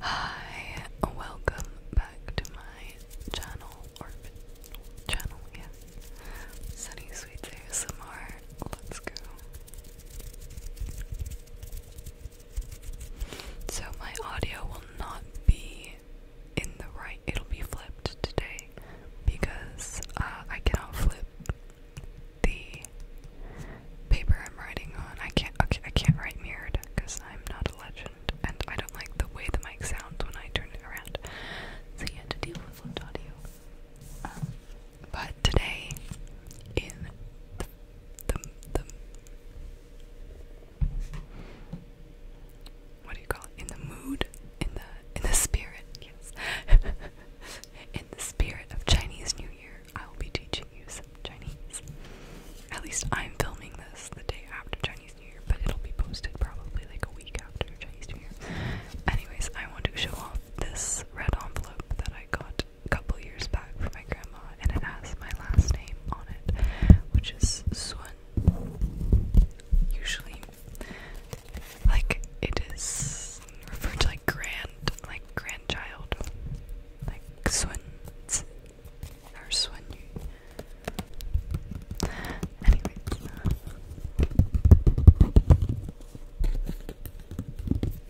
Hi, welcome back to my channel or channel, yeah. Sunny Sweets ASMR. Let's go. So my audio will not be in the right, it'll be flipped today because uh, I cannot flip the paper I'm writing on. I can't. Okay, I can't write mirrored because I'm not a legend, and I don't like the way the mic sounds when I turn it around. So you had to deal with flipped audio. Um, but today, in the, the the what do you call it? In the mood, in the in the spirit, yes, in the spirit of Chinese New Year. I will be teaching you some Chinese. At least I'm filming this the day after Chinese New Year, but it'll be posted probably like a week after Chinese New Year. Anyways, I want to show off this red envelope that I got a couple years back from my grandma, and it has my last name on it, which is Sun. Usually, like it is referred to like grand, like grandchild, like Sun or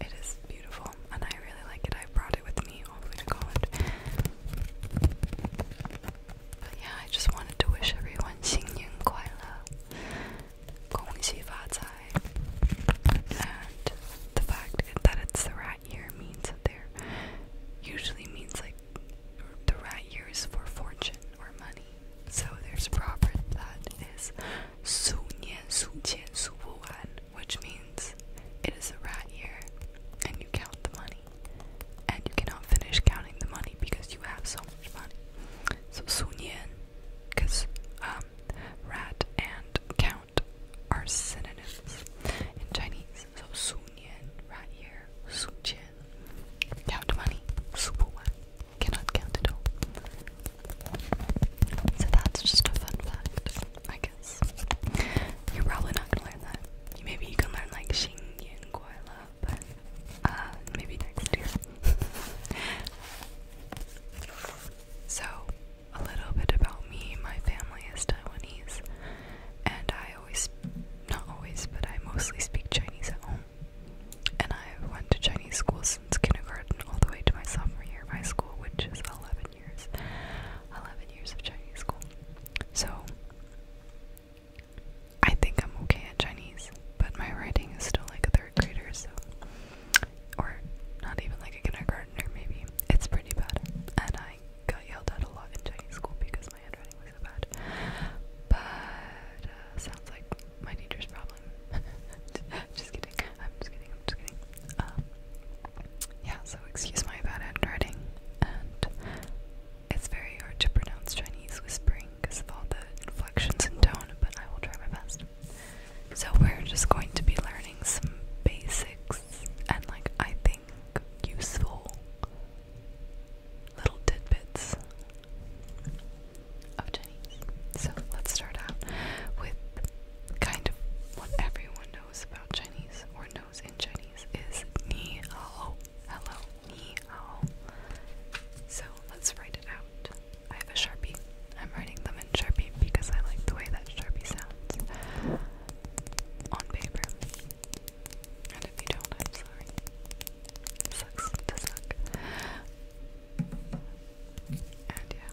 It is beautiful and I really like it. I brought it with me all to college. But yeah, I just wanted to wish everyone 新年快乐,恭喜发财, and the fact that it's the rat year means that they're usually means like the rat year is for fortune or money. So there's a proverb that is Su Nian Su Qian Su Wu Wan, which means it is a rat year and you count the money. And you cannot finish counting the money because you have so much money. So Su Nian, because um, rat and cow are synonyms in Chinese. So su nian right here, su qian. Count money, su bu Cannot count at So that's just a fun fact, I guess. You're probably not gonna learn that. Maybe you can learn like xing yin guila, but uh, maybe next year. so a little bit about me. My family is Taiwanese, and I always, not always, but I mostly speak Chinese at home. And I went to Chinese school since kindergarten all the way to my sophomore year of high school, which is 11 years. 11 years of Chinese school. So, I think I'm okay at Chinese, but my writing is still like a third grader, so or not even like a kindergartner maybe. It's pretty bad, and I got yelled at a lot in Chinese school because my handwriting was bad. But uh, sounds like my teacher's problem. just kidding. I'm just kidding. I'm just kidding. Um, yeah. So excuse my bad handwriting, and it's very hard to pronounce Chinese whispering because of all the inflections and tone. But I will try my best. So we're just going to be learning some basics and like I think useful little tidbits of Chinese. So let's start out with kind of what everyone knows about Chinese or knows in Chinese is ni hao. Hello, ni hao. So let's write it out. I have a sharpie. I'm writing them. Sharpie because I like the way that Sharpie sounds on paper. And if you don't, I'm sorry. sucks to suck. And yeah.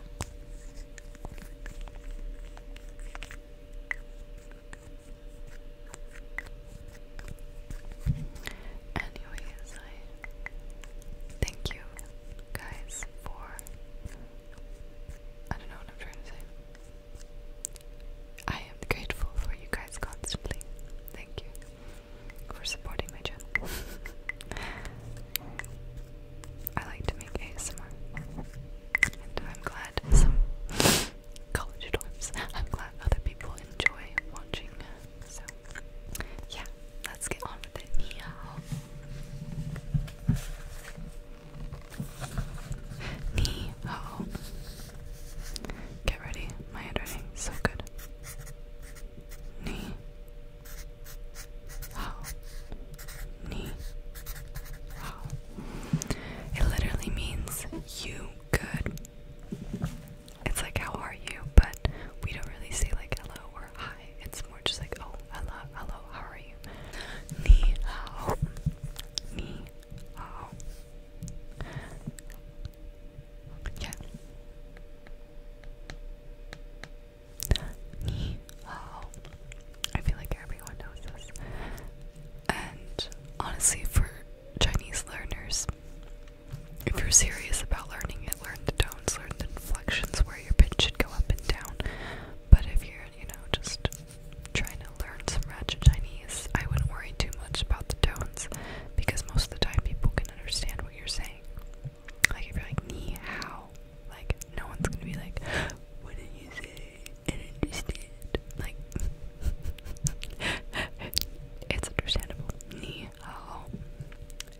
Anyways, I thank you guys for I don't know what I'm trying to say. I am grateful for you guys constantly. Thank you for supporting my channel. I like to make ASMR. And I'm glad some college dorms, I'm glad other people enjoy watching. So, yeah, let's get on with it. Meow. Knee. Uh Get ready. My handwriting so good. Knee. Oh. Knee. Oh. It literally means you good. It's like, how are you? But we don't really say, like, hello or hi. It's more just like, oh, hello, hello, how are you? Ni hao. Ni hao. Yeah. Ni hao. I feel like everyone knows this. And honestly, for Chinese learners, if you're serious about learning it, learn the tones, learn the inflections where your pitch should go up and down. But if you're you know, just trying to learn some ratchet Chinese, I wouldn't worry too much about the tones because most of the time people can understand what you're saying. Like if you're like ni how, like no one's gonna be like, what did you say? And understand. Like it's understandable. Ni hao.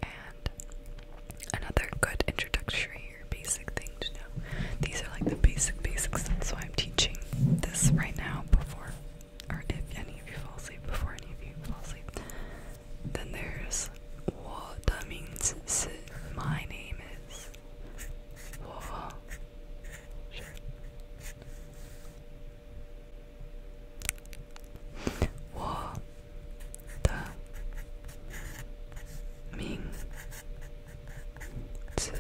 And another good introductory basic thing to know. These are like the basic basics. That's why I'm teaching this right now before, or if any of you fall asleep, before any of you fall asleep. Then there's what means my name is. What? Sure. What 的名字是我的名字是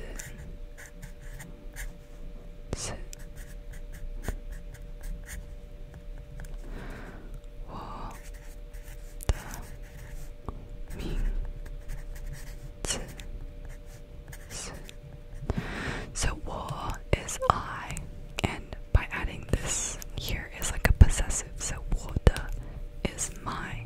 So 我 is I and by adding this here is like a possessive so 我的 is my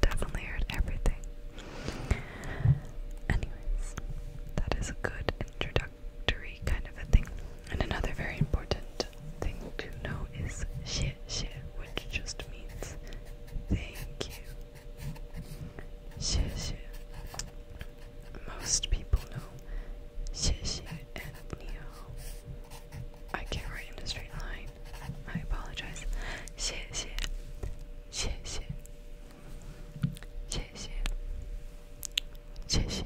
Definitely heard everything. Anyways, that is a good introductory kind of a thing. And another very important thing to know is xie which just means thank you. Xie Most people know xie and ni I can't write in a straight line. I apologize. Xie 谢谢，谢谢，谢谢，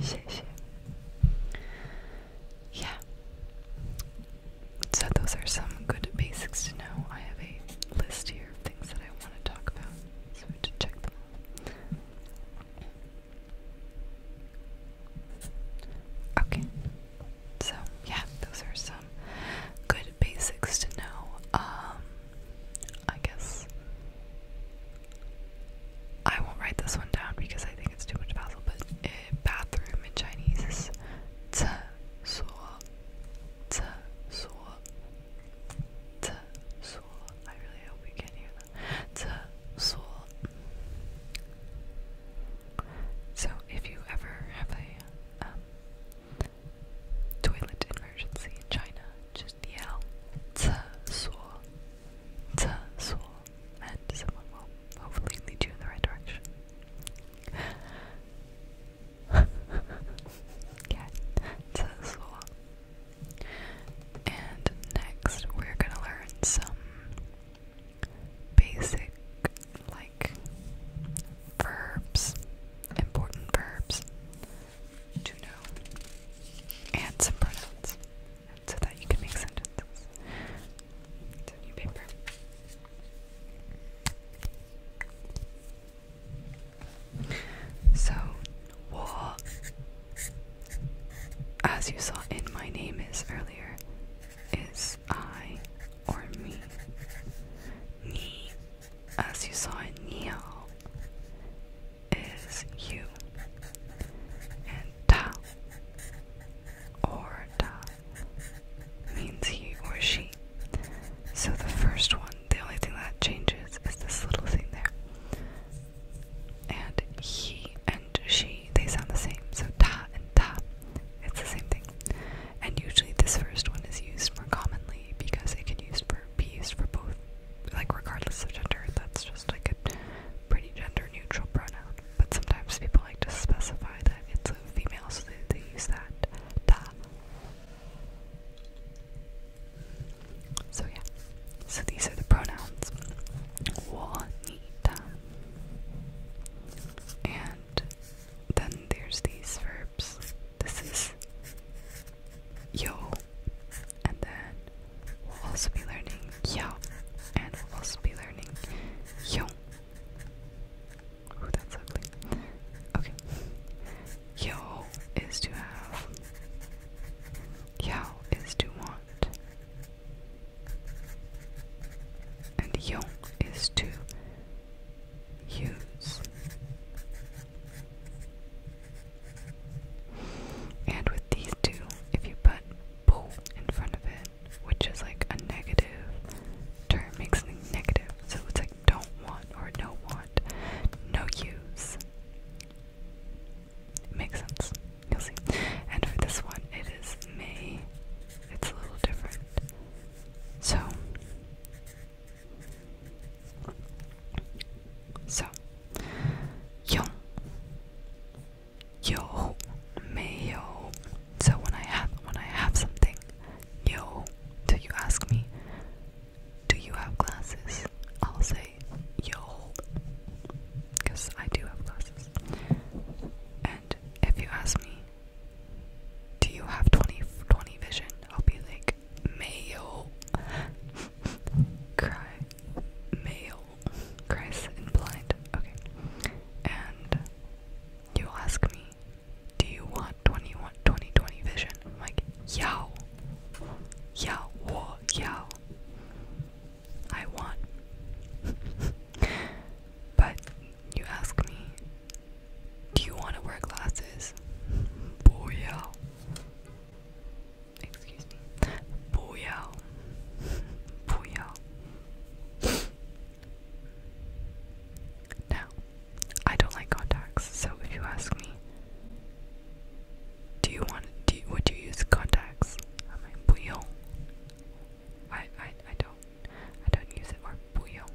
谢谢。Yeah. So those are some good basics to know. I have a list here of things that I want to talk about, so we have to check them all. Okay. So yeah, those are some good basics to know. Um, I guess I won't write this one down because I think it's too much puzzle. But eh, bathroom in Chinese is I really hope you can hear that. So if you ever have a um, toilet emergency in China, just yell "厕所,""厕所," and someone will hopefully lead you in the right direction. yeah, "厕所." And next, we're gonna learn some basic like verbs, important verbs to know, and some pronouns, so that you can make sentences. It's a new paper. So, war, as you saw in my name is earlier, is I or me. Me, as you saw in Neo, is you. And ta or ta means he or she. So the first one, the only thing that changes is this little thing there. And he and and she, they sound the same. So ta and ta, it's the same thing. And usually this first one is used more commonly because it can be used for both, like regardless of gender. That's just like a pretty gender neutral pronoun. But sometimes people like to specify that it's a female, so they, use that ta. So yeah, so these are the pronouns. Wo, ni, and then there's these verbs. This is yo. And then we'll also be learning yo. And we'll also be learning yo. Oh, that's ugly. Okay. Yo is to have. Yo is to want want. And Jung is to use. And with these two, if you put po in front of it, which is like a negative term, makes something negative. So it's like don't want or no want, no use. makes sense. And for this one, it is May. It's a little different. So, so, yo, yo, mayo. So when I have when I have something, yo. So you ask me, do you have glasses? I'll say yo, because I do have glasses if you ask me, do you have 20 20 vision? I'll be like, male. Cry. Male. Christ and blind. Okay. And you ask me, do you want 20, 20, vision? I'm like, yao. Yao. Wo. Yao. I want. but you ask me, do you want to wear glasses? Booyah. Excuse me. Booyah. Booyah. now, I don't like contacts, so if you ask me, do you want? Do you, would you use contacts? I'm like, bouillon. I I I don't I don't use it or bouillon.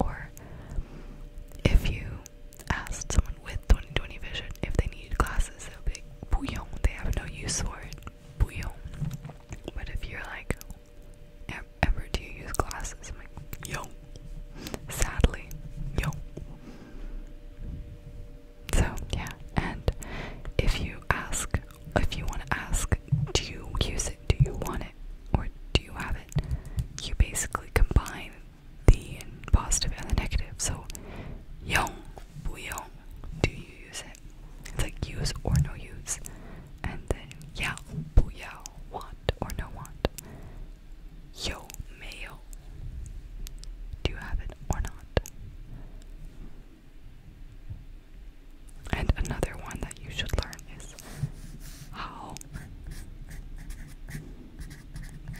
Or if you ask someone with 20/20 vision if they need glasses, they'll be like, bouillon. They have no use for it, bouillon. But if you're like, ever do you use glasses? I'm like, yo. Sadly, yo. So yeah, and if you ask if you want to ask, do you use it? Do you want it? Or do you have it? You basically combine the positive and the negative. So, young, buyong, do you use it? It's like use or no use. And then yao, buyao, want or no want. Yo, mayo, do you have it or not? And another one that you should learn is how.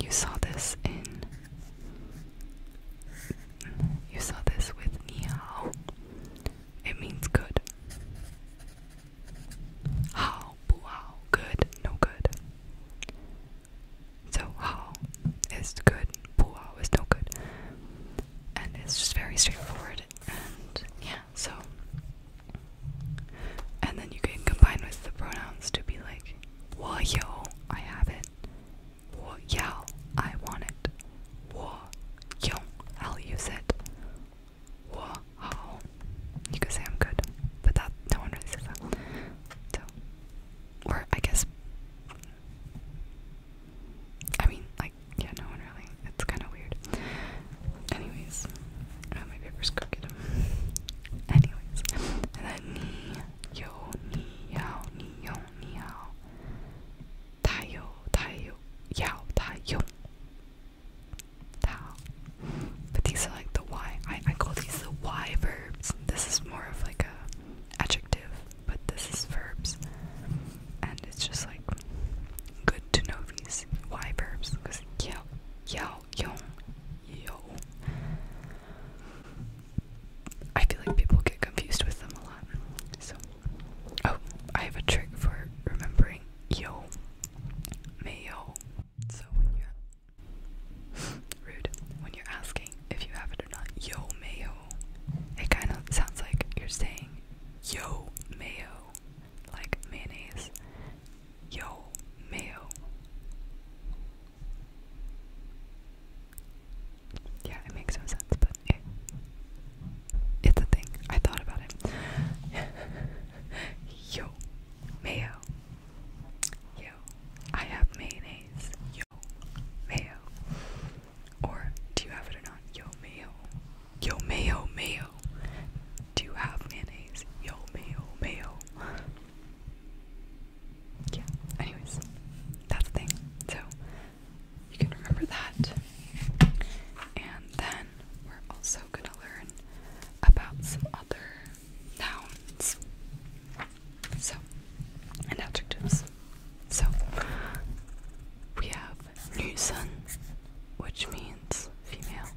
You saw this in. You saw this with ni hao. It means good. How, bu hao, good, no good. So, how is good, bu hao is no good and it's just very straightforward and yeah so and then you can combine with the pronouns to be like wo yo I have it wo yao I want it wo yong I'll use it wo hao you could say I'm good but that no one really says that so or I guess I mean, like, yeah, no one really. It's kind of weird. Anyways, my paper's crooked. Anyways, ni yo ni yao ni yo ni yao. Tai yo tai yo yao tai yo. Tao. But these are like the Y. I I call these the Y verbs. This is more of like a adjective, but this is verbs. And it's just like good to know these Y verbs because yao, yao, yong, yo. I feel like people get confused with them a lot. So, oh, I have a trick for remembering yo, mayo. So when you're rude, when you're asking if you have it or not. Yo mayo. It kind of sounds like you're saying yo mayo, like mayonnaise. Yo mayo. Yeah, it makes no sense, but it's a thing. I thought about it. Yo, mayo. Yo, I have mayonnaise. Yo, mayo. Or do you have it or not? Yo mayo. Yo mayo mayo. Do you have mayonnaise? Yo mayo mayo. Yeah. Anyways, that's the thing. So you can remember that. And then we're also gonna learn about some other nouns. So and adjectives. So we have Nusan, which means female.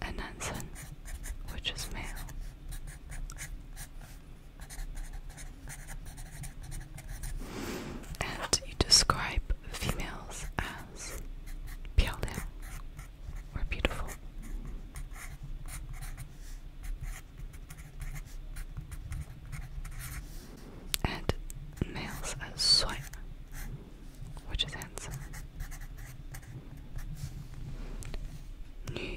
And Nansen, which is male. And you describe females as Piao we're beautiful. And males as swipe, which is handsome. Nu And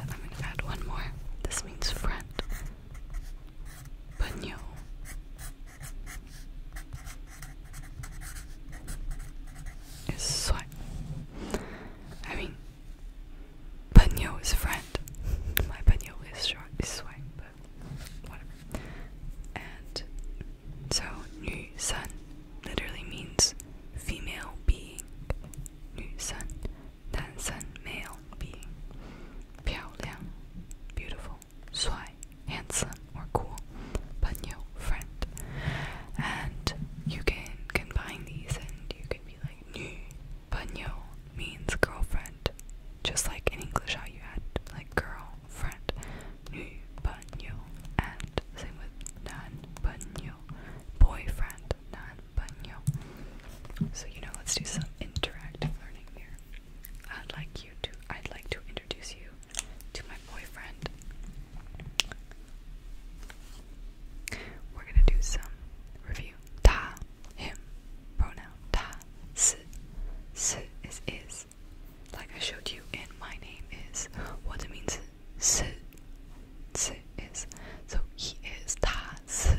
I'm going to add one more. This means friend. But no. Is sweat. I mean, Panyo is a friend. My Panyo is short, is sweat, but whatever. And so, Nu Sun literally means female being. Nu Sun, Dan Sun, male being. Piao beautiful yo, swai, handsome or cool, but friend. And you can combine these and you can be like, new. Panyo means girlfriend, just like in English how you add like girl friend, Nu panyo and same with nan panyo, boyfriend nan panyo. So you know, let's do some interactive learning here. I'd like you to I'd like to introduce you to my boyfriend. We're gonna do some review. Ta him pronoun ta si. Si is Like I showed you in my name is what it means si. Si is. So he is ta si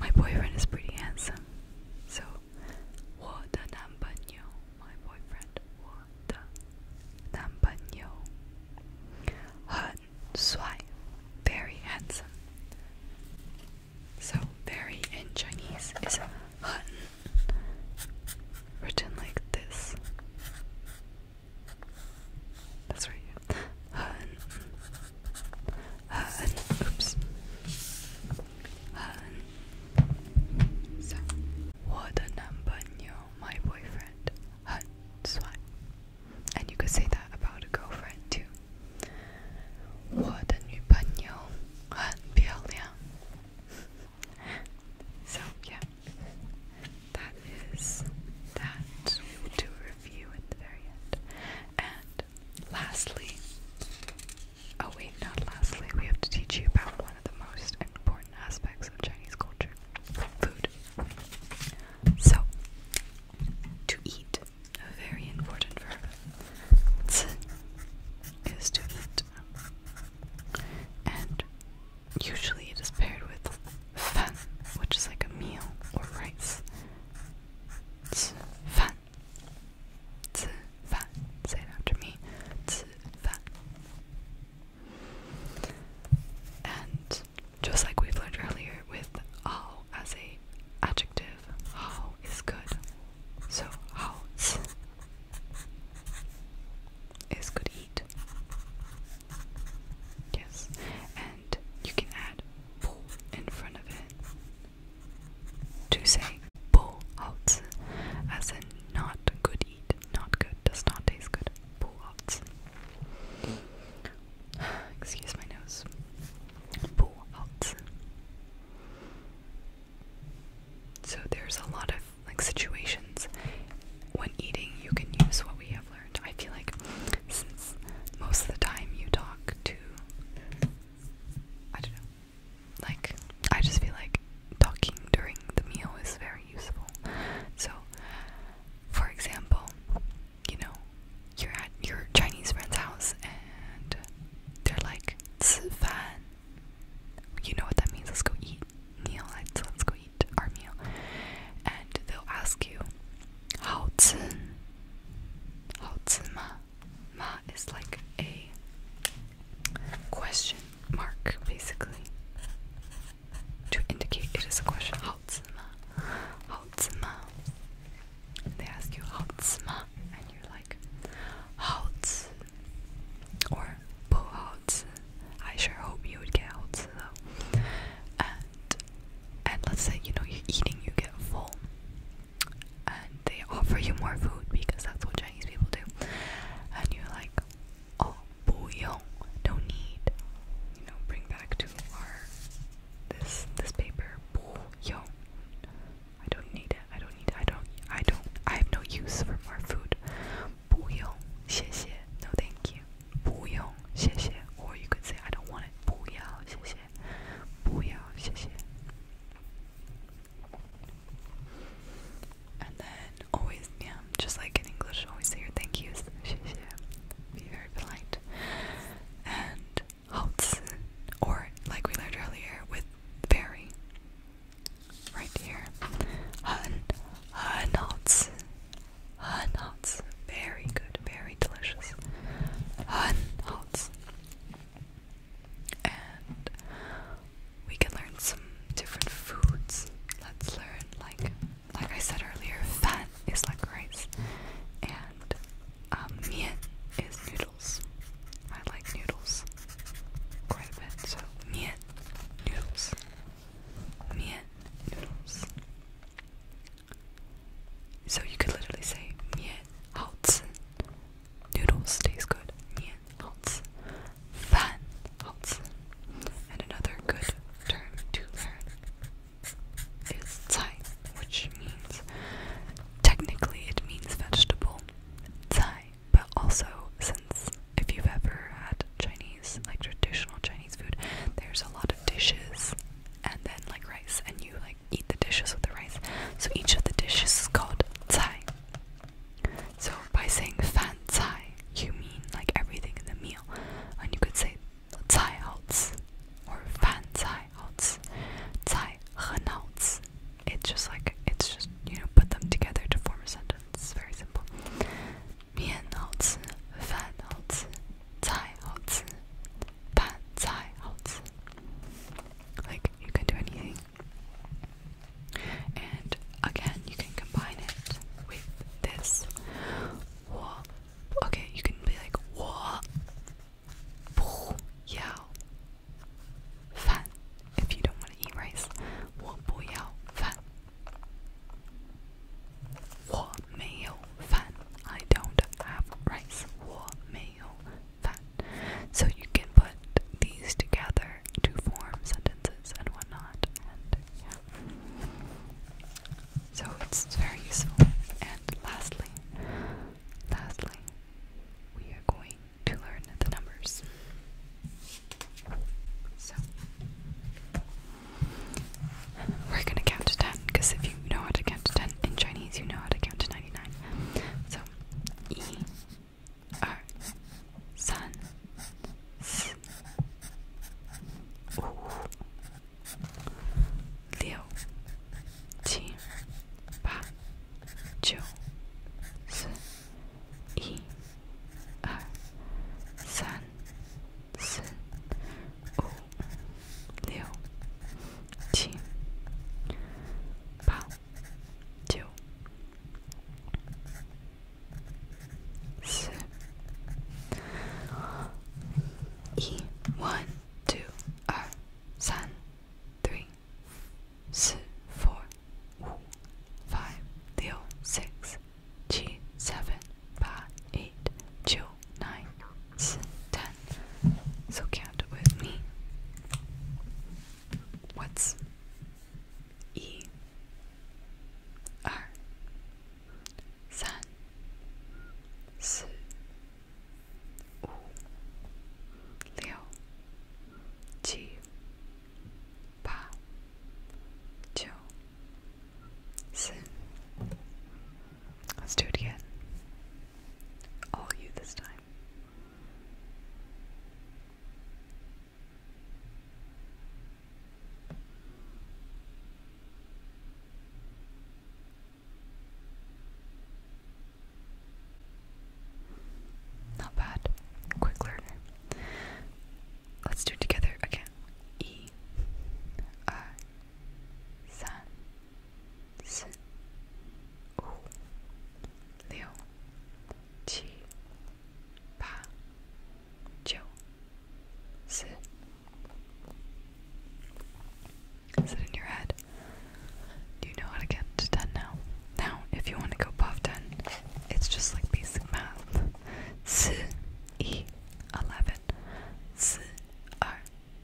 My boyfriend is pretty handsome. So, what nambanyo, my boyfriend, what nambanyo. Han Sui, very handsome. So, very in Chinese is hun, written like this. That's right. Oops. What a number my boyfriend. And you could say that about a girlfriend too. What a new panyo. Hun. So, yeah. That is that. We will do a review at the very end. And lastly, oh wait, not lastly, we have to teach you about one of the most important aspects of Chinese culture food. So, to eat, a very important verb. Ci is to eat. And usually it is paired with fan, which is like a meal or rice. 吃饭吃饭 say it after me 吃饭 and just like we've learned earlier with how as a adjective is good so how is good eat yes and you can add bu in front of it to say bu outs as in not good eat, not good, does not taste good. Bu outs. Excuse my nose. Bu outs. So there's a lot of like situations when eating you can use what we have learned. I feel like since most of the time you talk to I don't know. Like I just feel like talking during the meal is very useful. So for example, you know, you're at your Chinese friend's house and they're like fan. You know what that means, let's go eat meal, let's go eat our meal. And they'll ask you, Hao zi. Hao ma. is like a question mark, basically. To indicate it is a question. Hao ma. Hao ma. They ask you hao ma, and you're like hao zi. Or po I sure hope you would get hao zi uh, and let's say you know you're eating, you get full, and they offer you more food because that's what Chinese people do, and you're like, oh, bouillon, don't need, you know, bring back to our this this paper, bouillon, I don't need it, I don't need I don't, I don't, I have no use for more food, bouillon, 谢谢, no thank you, bouillon, 谢谢, or you could say I don't want it, 不要,谢谢.不要，谢谢。And then always, yeah, just like in English, always say thank yous. Be very polite. And Hauptsen, or like we learned earlier, with berry. Right here. Hun, hun, Hauptsen, hun, it's Very good, very delicious. Hun Hots. And we can learn some different foods. Let's learn like like I said earlier, fat is like rice and um is noodles. I like noodles quite a bit, so mien noodles. Mien noodles. So you could literally say mian haozi. Noodles tastes good. Mian haozi. Fan haozi. And another good term to learn is cai, which means technically it means vegetable. Cai, but also since if you've ever had Chinese, like traditional Chinese food, there's a lot of dishes and then like rice and you like eat the dishes with the rice. So each of the dishes is called zai. So by saying fan zai, you mean like everything in the meal. And you could say zai outs or fan zai outs. Zai henouts. It's just like it's just you know put them together to form a sentence. It's very simple. Mian outs, fan outs, zai outs pan zai hao Like you can do anything. And again, you can combine it with this. Okay, you can be like wa bu if you don't want to eat meal fan. I don't have rice war meal fan. So you can put these together to form sentences and whatnot. And yeah. So it's very useful. And lastly, lastly, we are going to learn the numbers. So we're gonna count to 10 because if you know how to count to 10 in Chinese, you know how to count to 99. So, 1, er, eu te bateu se e one two er san three s four wu five leo six g seven ba eight two nine, ten. So count with me. What's E R Let's do it again. All you this time. Not bad. Quick learner. Let's do it together again. E. I. San. 四、五、六、七、八、九、四。Is it in your head? Do you know how to get to 10 now? Now, if you want to go above 10, it's just like basic math. 11, 12,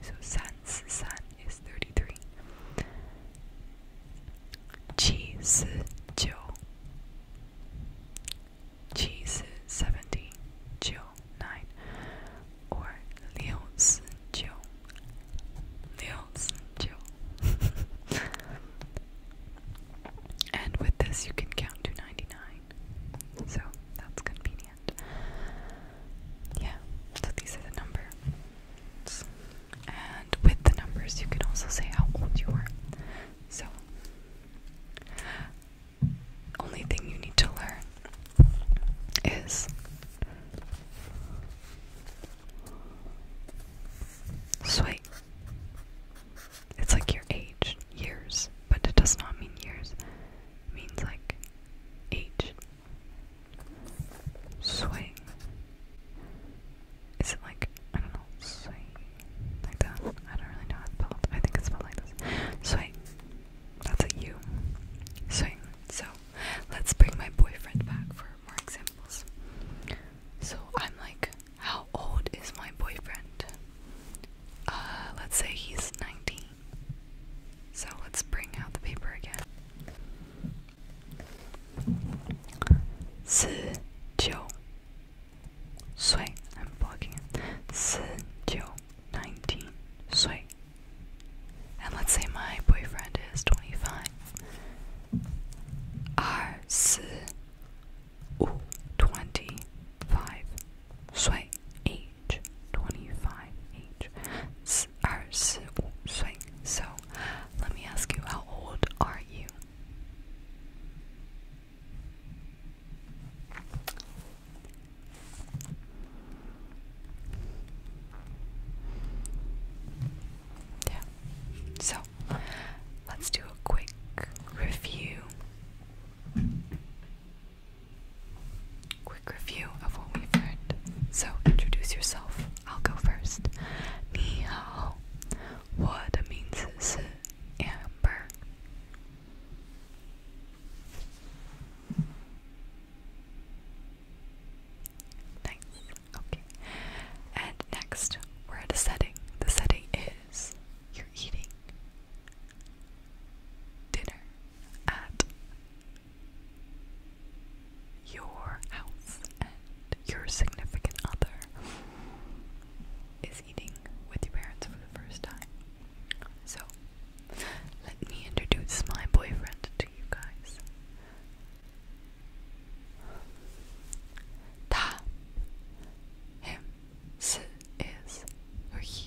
So sun's sun is 33. Qi si 70. Jiu 9. Or liu si And with this you can count to 99. So that's convenient yeah, so these are the numbers. And with the numbers, you can also say how old you are. So, only thing you need to learn is soy. It's like your age, years, but it does not mean years. It means like age, Swing. Is it like, I don't know, swing? Like that? I don't really know how it's spelled. I think it's spelled like this. Swing. That's a U. Swing. So, let's bring my boyfriend back for more examples. So, I'm like, how old is my boyfriend? Uh, let's say he's 19. So let's bring out the paper again. 十九岁 I'm blocking it. 十九 nineteen 岁 And let's say my boyfriend is twenty five. 二十五 twenty five 岁 eight. 25 age So let me ask you how old are you? Yeah. So let's do a quick review. Quick review of what we've learned. So introduce yourself. I'll go first. Ni hao. What means is amber. Nice. Okay. And next, we're setting. The setting is you're eating dinner at your house and your significant other is eating with your parents for the first time. So, let me introduce my boyfriend to you guys. Ta him si is he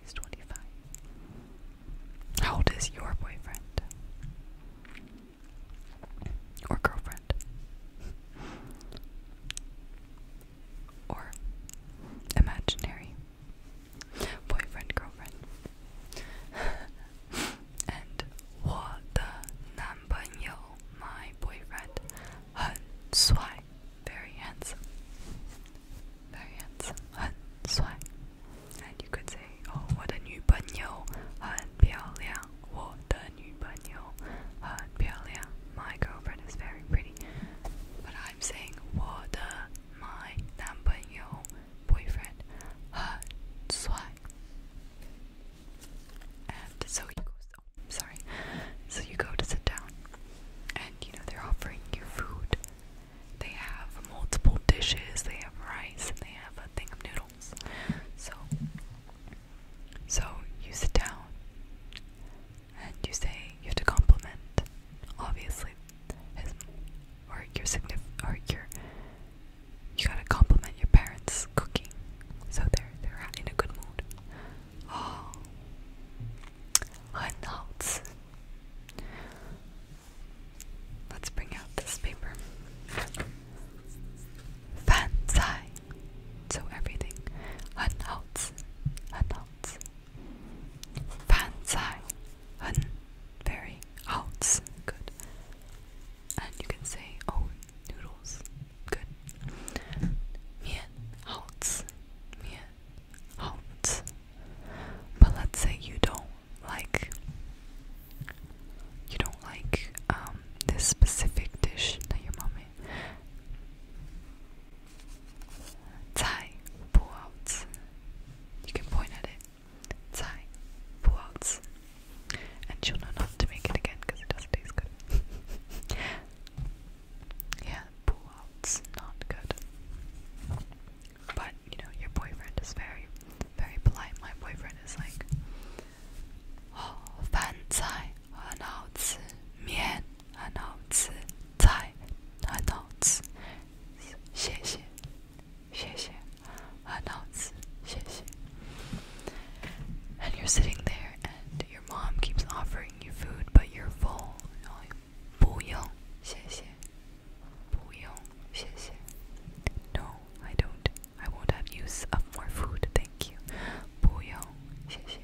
He's 25. How old is your boyfriend? Or girlfriend? Or imaginary boyfriend, girlfriend? and my boyfriend very handsome very handsome, and you could say, oh, 我的女朋友很漂亮我的女朋友很漂亮 my girlfriend is very pretty but I'm saying 我的 my 男朋友 boyfriend 很帅 and so you go oh, sorry so you go to sit down and you know they're offering you food they have multiple dishes. They have rice and they have a thing of noodles. So, so you sit down and you say you have to compliment, obviously, his or your significant or your. You gotta compliment your parents' cooking, so they're they're in a good mood. Oh, 很好吃。Let's bring out this paper. Fancy. So everything. Hun outs. Fancy. Very. Good. And you can say, oh, noodles. Good. Mien. Outs. Mien. Outs. But let's say you don't like you don't like um, this specific dish that your mom made. Zai Puaozi. You can point at it. Zai Puaozi. And she'll know not to make it again because it doesn't taste good. yeah, Puaozi, not good. But you know, your boyfriend is very, very polite. My boyfriend is like, oh, fan zai, mian, tai, and you're sitting there, and your mom keeps offering you food, but you're full. You know, like, no, I don't. I won't have use of more food, thank you. 不用，谢谢。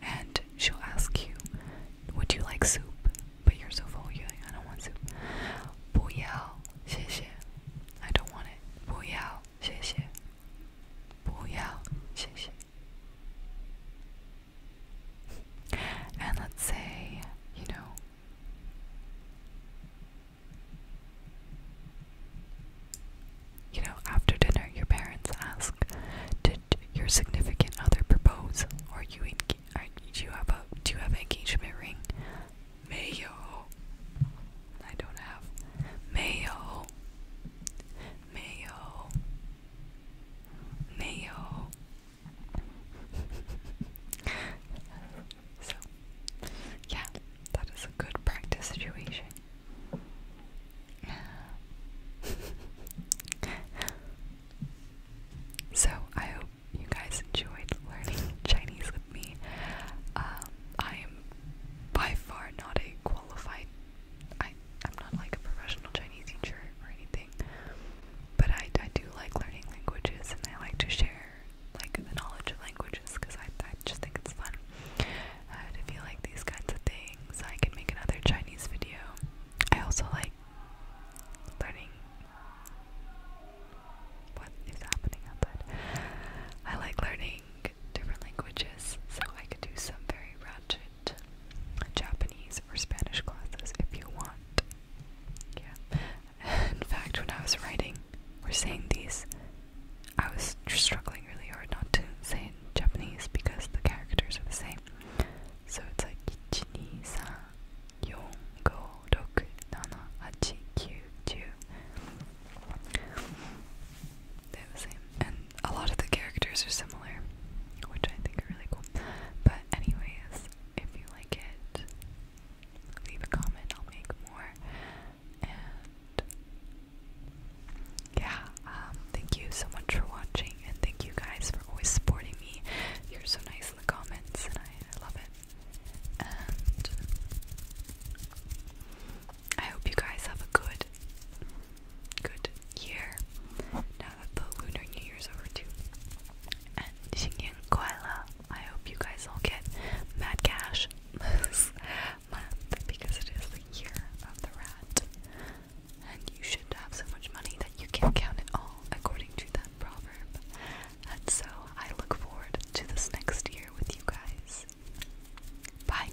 And she'll ask you, would you like soup? But you're so full, you're I don't want soup. 不要, I don't want it. 不要,谢谢。不要,谢谢。and let's say, you know, you know, after dinner, your parents ask, "Did your significant other propose, or you do you have a do you have an engagement ring?" Mayo. I don't have mayo. Mayo. 没有。so, yeah, that is a good practice situation. so, I hope you guys enjoyed learning Chinese with me. Um, I am by far not a qualified I I'm not like a professional Chinese teacher or anything, but I I do like learning languages and I like to share like the knowledge of languages because I I just think it's fun. I uh, if like these kinds of things, I can make another Chinese video. I also like learning what is happening outside. I like learning different languages, so I could do some very ratchet Japanese or Spanish classes if you want. Yeah. In fact, when I was writing or saying these, I was struggling really hard not to say in Japanese because the characters are the same. So it's like 1,2,3,4,5,6,7,8,9,10 they're the same. And a lot of the characters are similar, which I think are really cool. But, anyways, if you like it, leave a comment. I'll make more. And yeah, um, thank you so much for watching, and thank you guys for always supporting me. You're so nice in the comments, and I, I love it. And I hope you guys have a good good year now that the Lunar New Year's over too. And Xingyang Kuaila, I hope you guys all get mad cash this month because it is the year of the rat. And you should have so much money that you can't count it all, according to that proverb. And so I look forward to this next year with you guys. Bye!